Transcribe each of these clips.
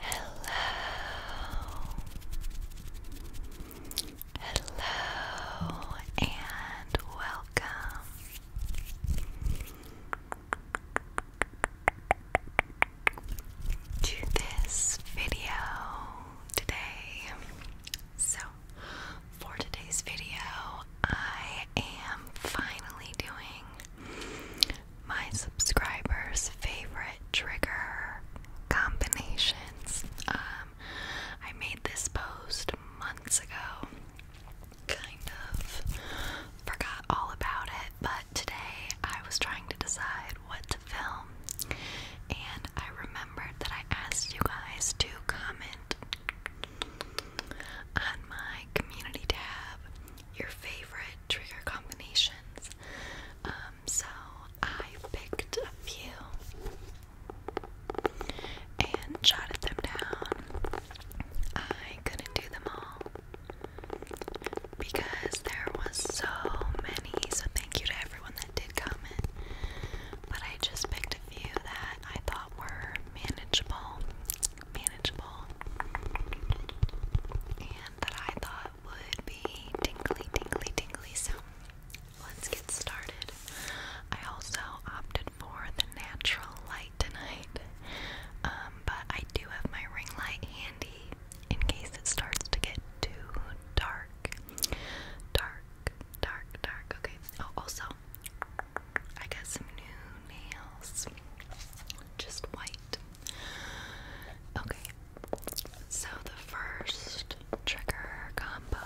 Hello, hello, and welcome. To this video today. So, for today's video, I am finally doing my subscribers' favorite trigger combinations. Um, I made this post months ago, kind of forgot all about it, but today I was trying to decide what to film, and I remembered that I asked you guys to comment on my community tab, your favorite trigger combinations. Um, so I picked a few and jotted them down. I couldn't do them all because there was so many. So thank you to everyone that did comment. But I just picked a few that I thought thought were manageable, manageable, and that I thought would be tingly, tingly, tingly. So let's get started. I also opted for the natural light tonight, um, but I do have my ring light handy in case it starts to get too dark. Dark, dark, dark. Okay. Oh, also, I got some new nails. Just white. Okay. So the first trigger combo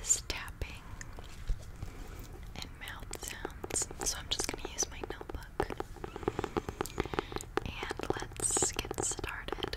is tapping and mouth sounds. So I'm just going to use my notebook. And let's get started.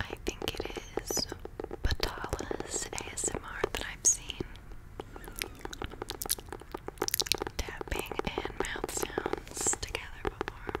I think it is Batala's ASMR that I've seen. Tapping and mouth sounds together before.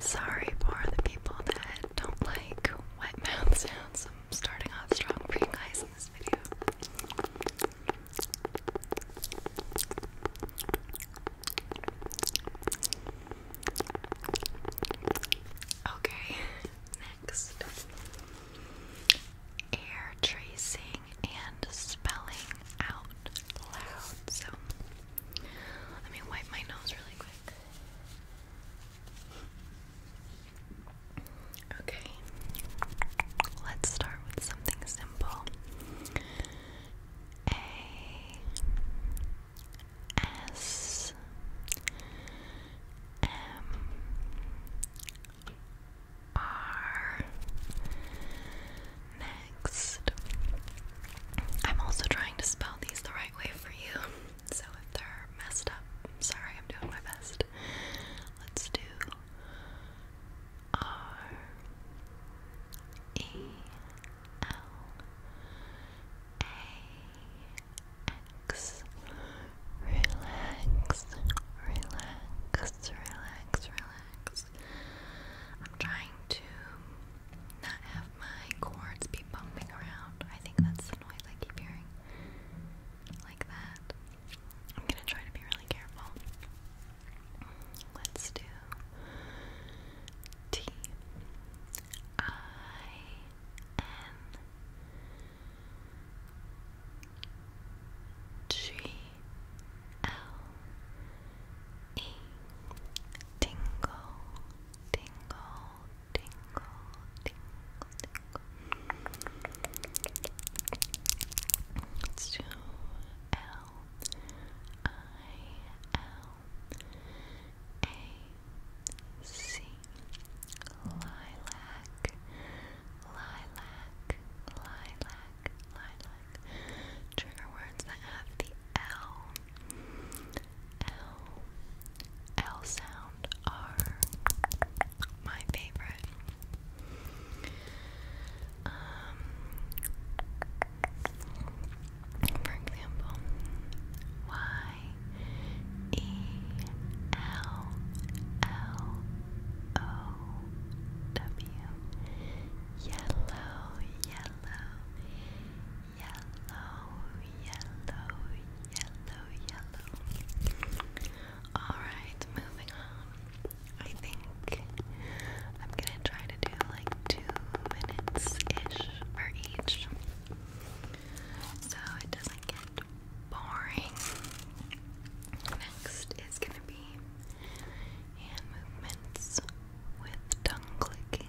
Sorry for the people that don't like wet mouth sounds. I'm starting off strong for you guys this video. Okay, next air tracing and spelling out loud. So let me wipe my nose really quick. Okay, let's start with something simple. A S M R. Next, I'm also trying to spell these the right way for you, so if they're messed up, sorry, I'm doing my best. Let's do R E L A X. Relax, relax, relax, relax. I'm trying to not have my cords be bumping around. I think that's the noise I keep hearing. Like that. I'm gonna try to be really careful. Let's do T I N G L E Tingle, tingle, tingle, tingle, tingle. It's two L I L A C Lilac Lilac Lilac Lilac Trigger words that have the L L L sound are my favorite. Um, for example, Y E L L O W Yellow, yellow, yellow, yellow, yellow, yellow. Alright, moving on. I think I'm gonna try to do like two minutes ish for each so it doesn't get boring. Next is gonna be hand movements with tongue clicking.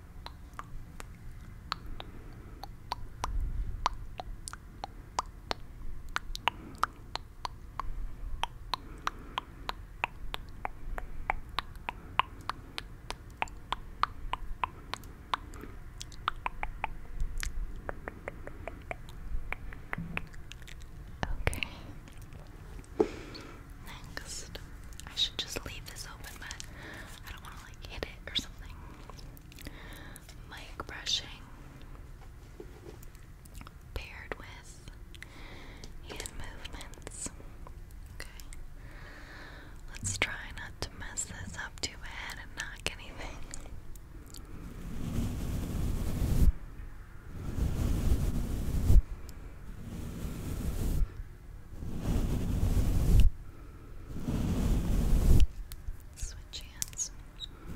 Okay. Next, I should just leave this open, but I don't want to like hit it or something mic brushing paired with hand movements. Okay. Let's try not to mess this up too bad and knock anything. Switch hands. Good.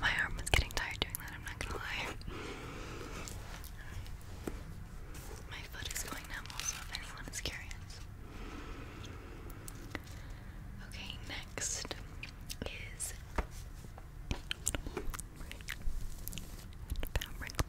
My arm was getting tired doing that, I'm not gonna lie. My foot is going numb also if anyone is curious. Okay, next is fabric scratching,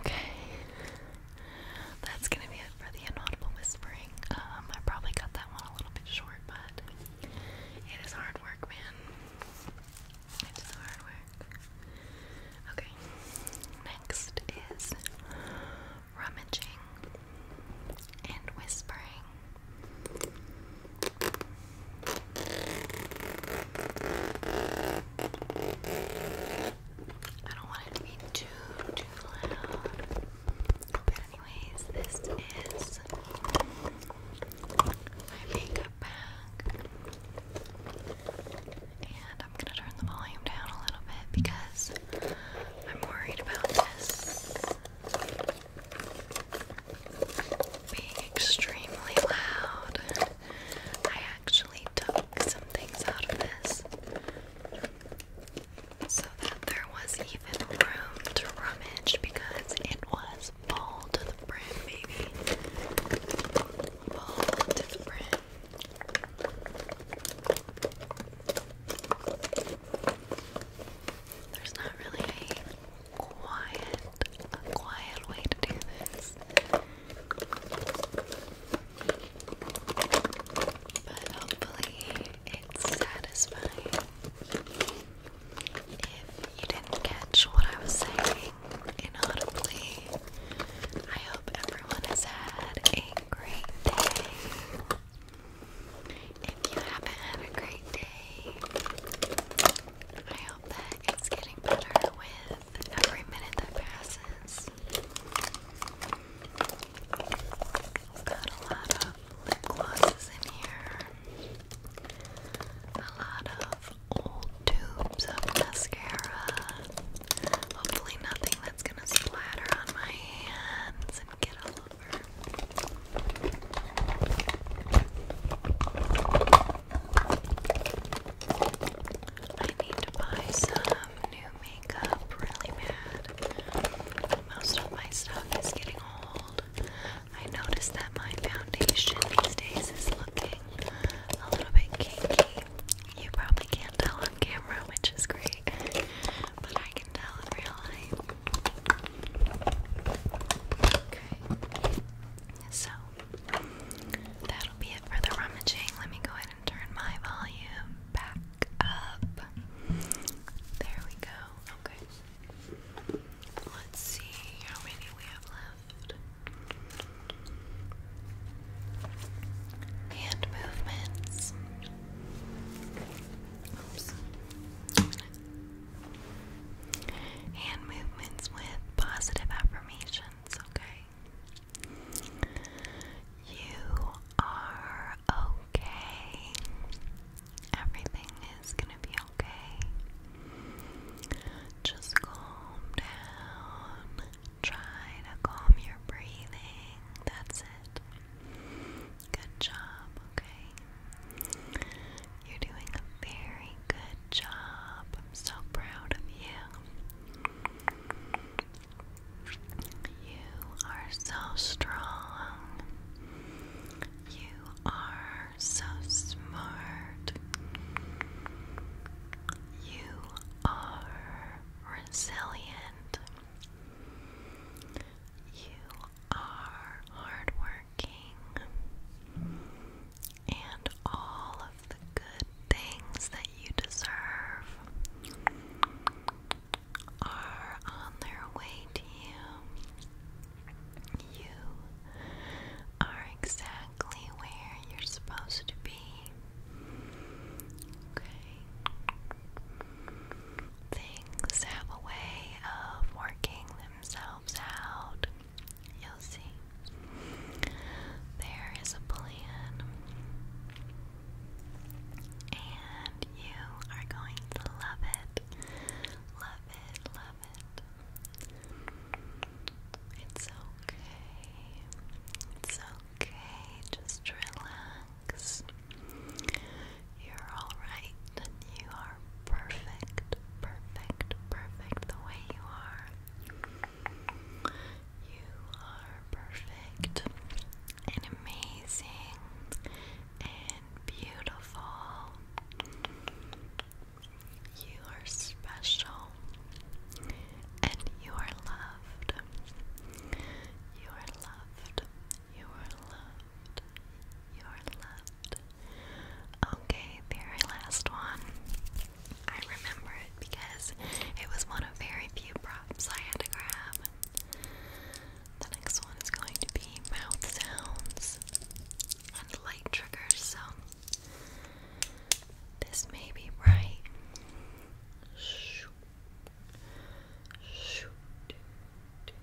Okay. That's gonna be it for the inaudible whispering. Um, I probably cut that one a little bit short, but it is hard work, man. It is hard work. Okay. Next is rummaging and whispering. I don't want it to be too, too loud. But anyways, this is my makeup bag. And I'm gonna turn the volume down a little bit because I'm worried about this being extremely loud. I actually took some things out of this so that there was even room to rummage because it was full to the brim, baby. Full to the brim. There's not really a quiet, a quiet way to do this. But hopefully it's satisfying. If you didn't catch what I was saying inaudibly, I hope everyone has had a great day. If you haven't had a great day, I hope that it's getting better with every minute that passes. got a lot of lip glosses in here, a lot of old tubes of mascara. Hopefully, nothing that's gonna splatter on my hands and get all I need to buy some new makeup really bad. Most of my stuff is getting old. I noticed that my foundation these days is looking a little bit kinky. You probably can't tell on camera, which is great. But I Okay. So, that'll be it for the rummaging. Let me go ahead and turn my volume back up. There we go. Okay. Let's see how many we have left. Hand movements. Oops. Hand movements with positive affirmations, okay? You are okay. Everything is gonna be okay. Just calm down. Try to calm your breathing. That's it. Good job, okay? You're doing a very good job. I'm so proud of you. You are so strong. You are so smart. You are resilient. You are hardworking, and all of the good things that you deserve are on their way to you. You are exactly where you're supposed to be. Okay things have a way of working themselves out. You'll see. There is a plan, and you are going to love it. Love it, love it. It's okay. It's okay. Just relax. You're alright. You are perfect, perfect, perfect the way you are. You are perfect and amazing and beautiful. You are special and you are loved. You are loved. You are loved. You Okay, very last one. I remember it because it was one of very few props I had to grab. The next one is going to be mouth sounds and light triggers, so this may be bright. Shoot. Shoot.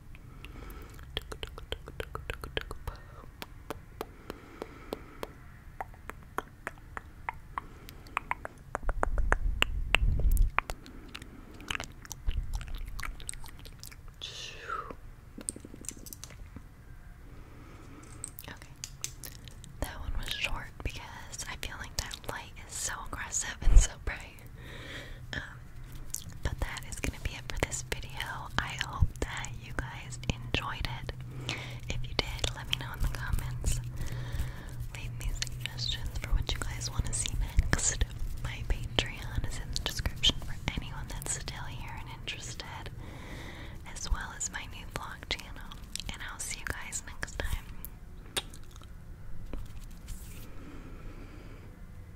Okay. That one was short because I feel like that light is so aggressive and so bright. Um, but that is going to be it for this video. I hope that you guys enjoyed it. If you did, let me know in the comments. Leave me suggestions for what you guys want to see next. My Patreon is in the description for anyone that's still here and interested, as well as my new vlog channel. And I'll see you guys next time.